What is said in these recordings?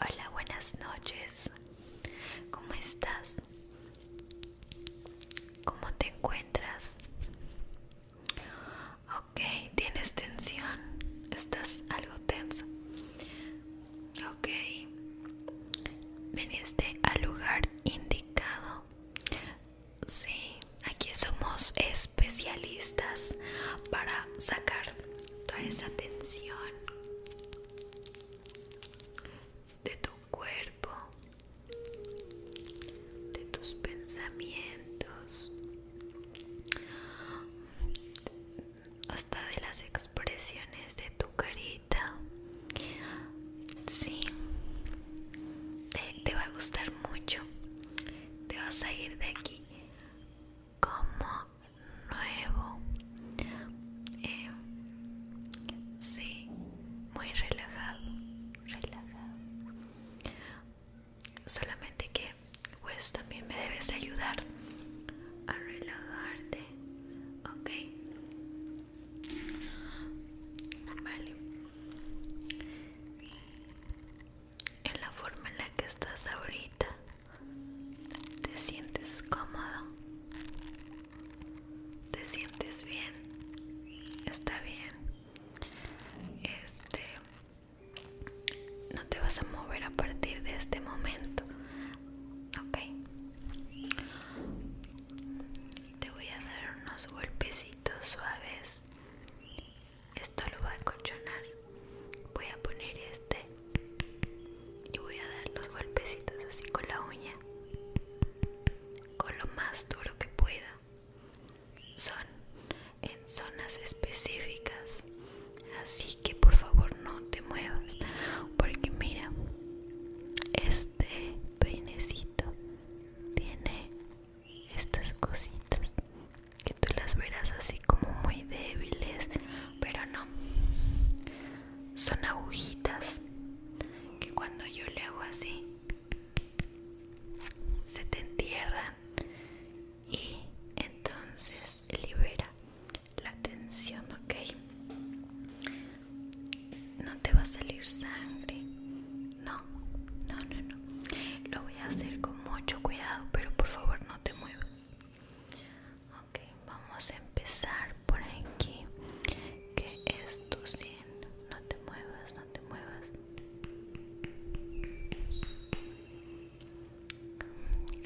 Hola, buenas noches. ¿Cómo estás? ¿Cómo te encuentras? Ok, tienes tensión. Estás algo tenso. Ok. ¿Veniste al lugar indicado. Sí, aquí somos especialistas para sacar toda esa atención de tu cuerpo, de tus pensamientos, hasta de las expresiones de tu cariño. Sí, te, va a gustar mucho. Te vas a ir de aquí como nuevo. Eh, sí, muy relajado, relajado. Solamente que pues también me debes ayudar a relajarte, ¿ok? Vale. En la forma en la que estás ahorita, ¿te sientes cómodo? ¿Te sientes bien? Está bien. Este no te vas a mover a partir de este momento. Ok te voy a dar unos golpecitos suaves esto lo va a acolchonar voy a poner este y voy a dar los golpecitos así con la uña con lo más duro que pueda son en zonas específicas así que por favor no te muevas porque mira este peinecito tiene estas cositas que tú las verás así como muy débiles pero no son agujitas que cuando yo le hago así se te entierran y entonces libera la tensión ok no te va a salir sangre. No, no, no, no. Lo voy a hacer con mucho cuidado, pero por favor no te muevas. Ok, vamos a empezar por aquí. Que es No te muevas, no te muevas.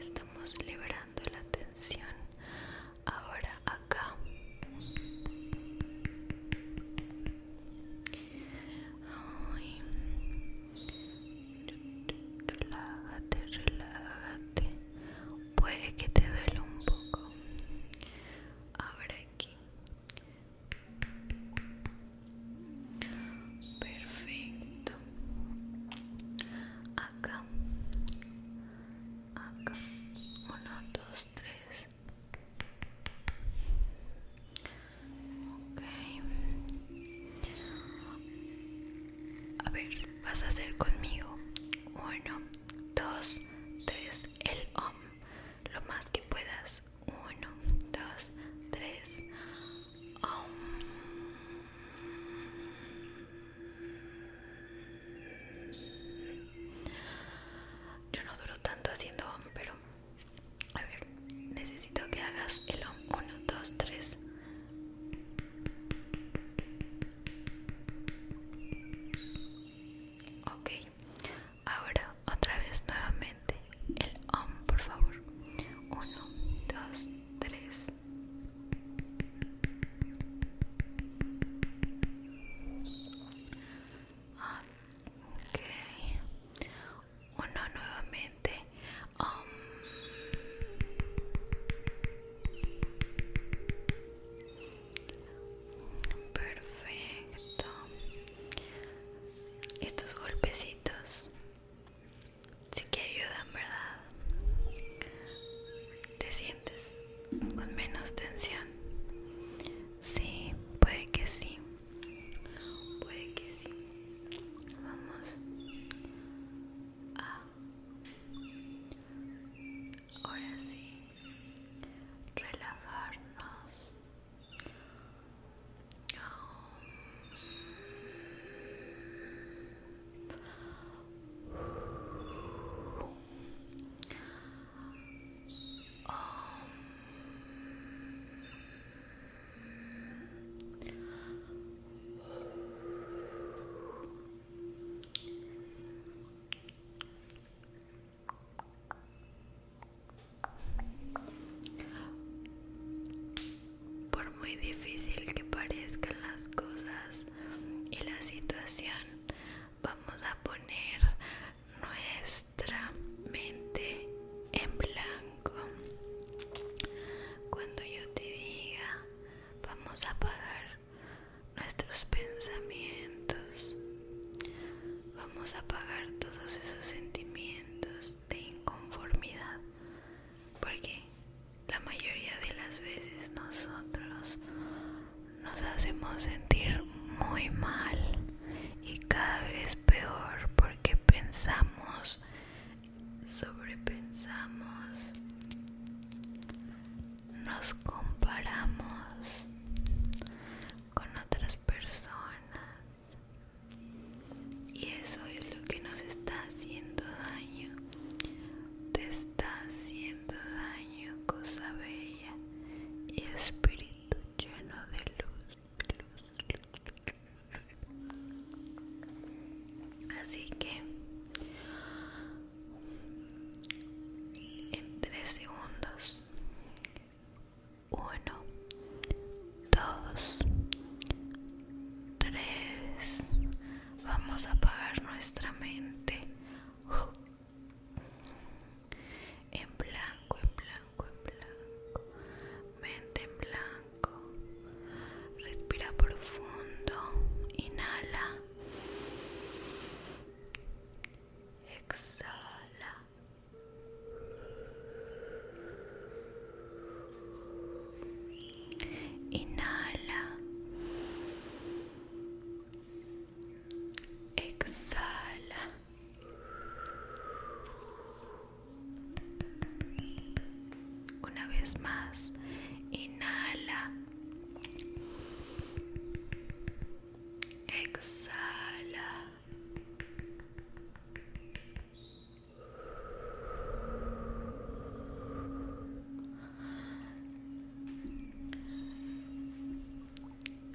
Estamos liberando la tensión ahora acá relájate relájate puede que te duele un poco ahora aquí perfecto acá acá Uno, dos, tres a ver, vas a hacer conmigo. Uno, dos, tres. El om. Lo más que puedas. Uno, dos, tres. Om. Yo no duro tanto haciendo om, pero a ver, necesito que hagas el om 1, 2, 3. Ok, ahora otra vez nuevamente el om, por favor. 1, 2, 3 ok uno nuevamente um, perfecto estos golpecitos sí que ayudan verdad con menos tensión? Sí, puede que sí. Puede que sí. Vamos a... Ahora sí. Relajarnos. Por muy difícil que parezcan las cosas y la situación, vamos a poner nuestra mente en blanco. Cuando yo te diga, vamos a apagar nuestros pensamientos, vamos a apagar todos esos sentimientos de inconformidad, porque la mayoría de las veces nosotros nos hacemos sentir muy mal y cada vez peor porque pensamos, sobrepensamos, nos comparamos con otras personas y eso es lo que nos está haciendo daño te está haciendo daño cosa bella y espiritual lleno de luz, Así que en tres segundos. Uno, dos, tres. Vamos a apagar nuestra mente en blanco, en blanco, en blanco, mente en blanco, respira profundo, inhala, exhala. Inhala. Exhala. Una vez más, inhala. Exhala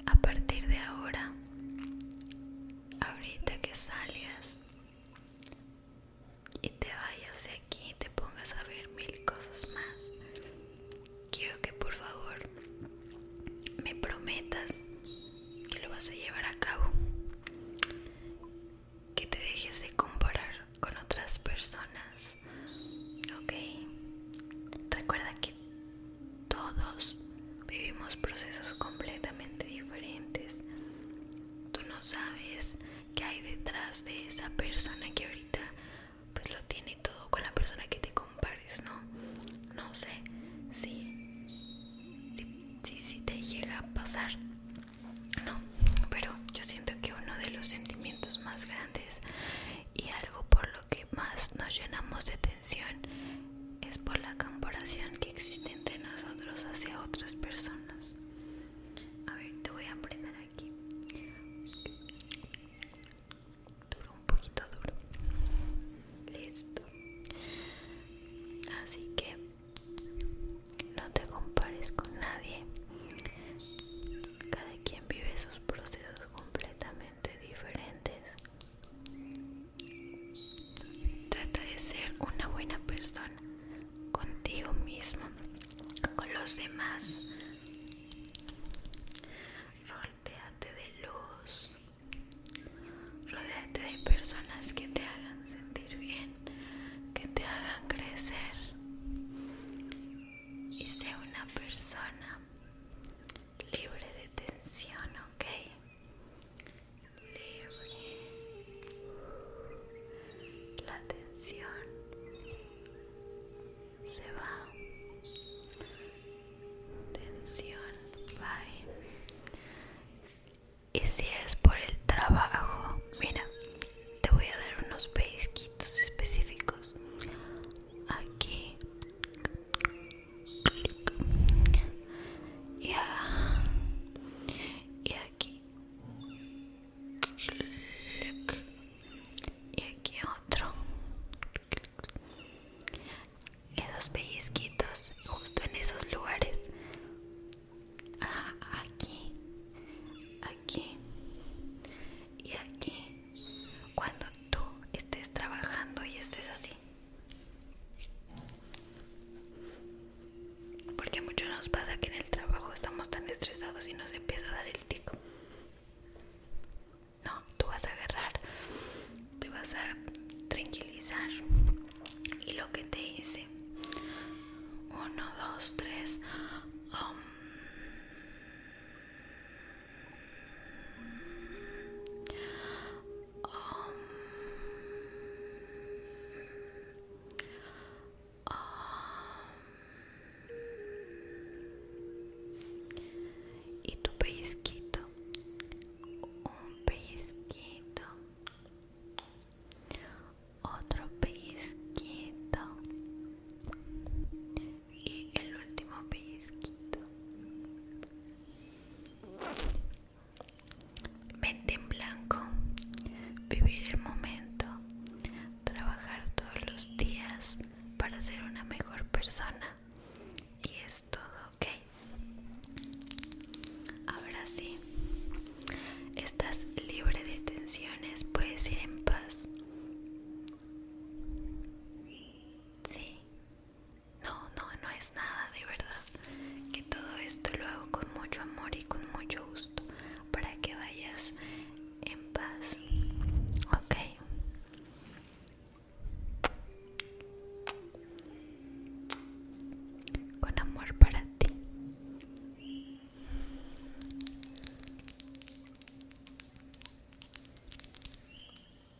a partir de ahora, ahorita que salgas y te vayas de aquí y te pongas a ver mil cosas más, quiero que por favor me prometas que lo vas a llevar a cabo, que te dejes de comparar con otras personas, ok. Recuerda que todos vivimos procesos completamente diferentes. Tú no sabes qué hay detrás de esa persona que ahorita pues lo tiene todo con la persona que te compares, ¿no? No sé si sí, si te llega a pasar. No, pero yo siento que uno de los sentimientos más grandes y algo por lo que más nos llenamos de tensión es por la comparación que existe entre nosotros hacia otras personas. A ver, te voy a prender aquí. Duro, un poquito duro. Listo. Así que no te compares con nadie. Cada quien vive sus procesos completamente diferentes Trata de ser una buena persona contigo mismo, con los demás. Rodeate de luz. Rodéate de personas que te hagan sentir bien, que te hagan crecer. Y sea una persona libre de tensión, ok libre la tensión se va tensión bye y si es por el trabajo mira te voy a dar unos pesquitos específicos aquí y, aquí y aquí otro esos pellizquitos justo en esos lugares aquí aquí y aquí cuando tú estés trabajando y estés así porque mucho nos pasa que en el trabajo estamos tan estresados y nos empieza a dar el tico. No, tú vas a agarrar, te vas a tranquilizar. Y lo que te hice: Uno, dos, tres. Um, Om. Um, Om. Y tu pellizquito, un pellizquito, otro pellizquito y el último pellizquito. Mente en blanco, vivir el momento, trabajar todos los días para ser una mejor persona. Y es todo, ¿ok? Ahora sí, estás libre de tensiones, puedes ir en paz. Sí, no, no, no es nada de verdad. Que todo esto lo hago con mucho amor y con mucho gusto para que vayas en paz. Ok. Con amor para ti.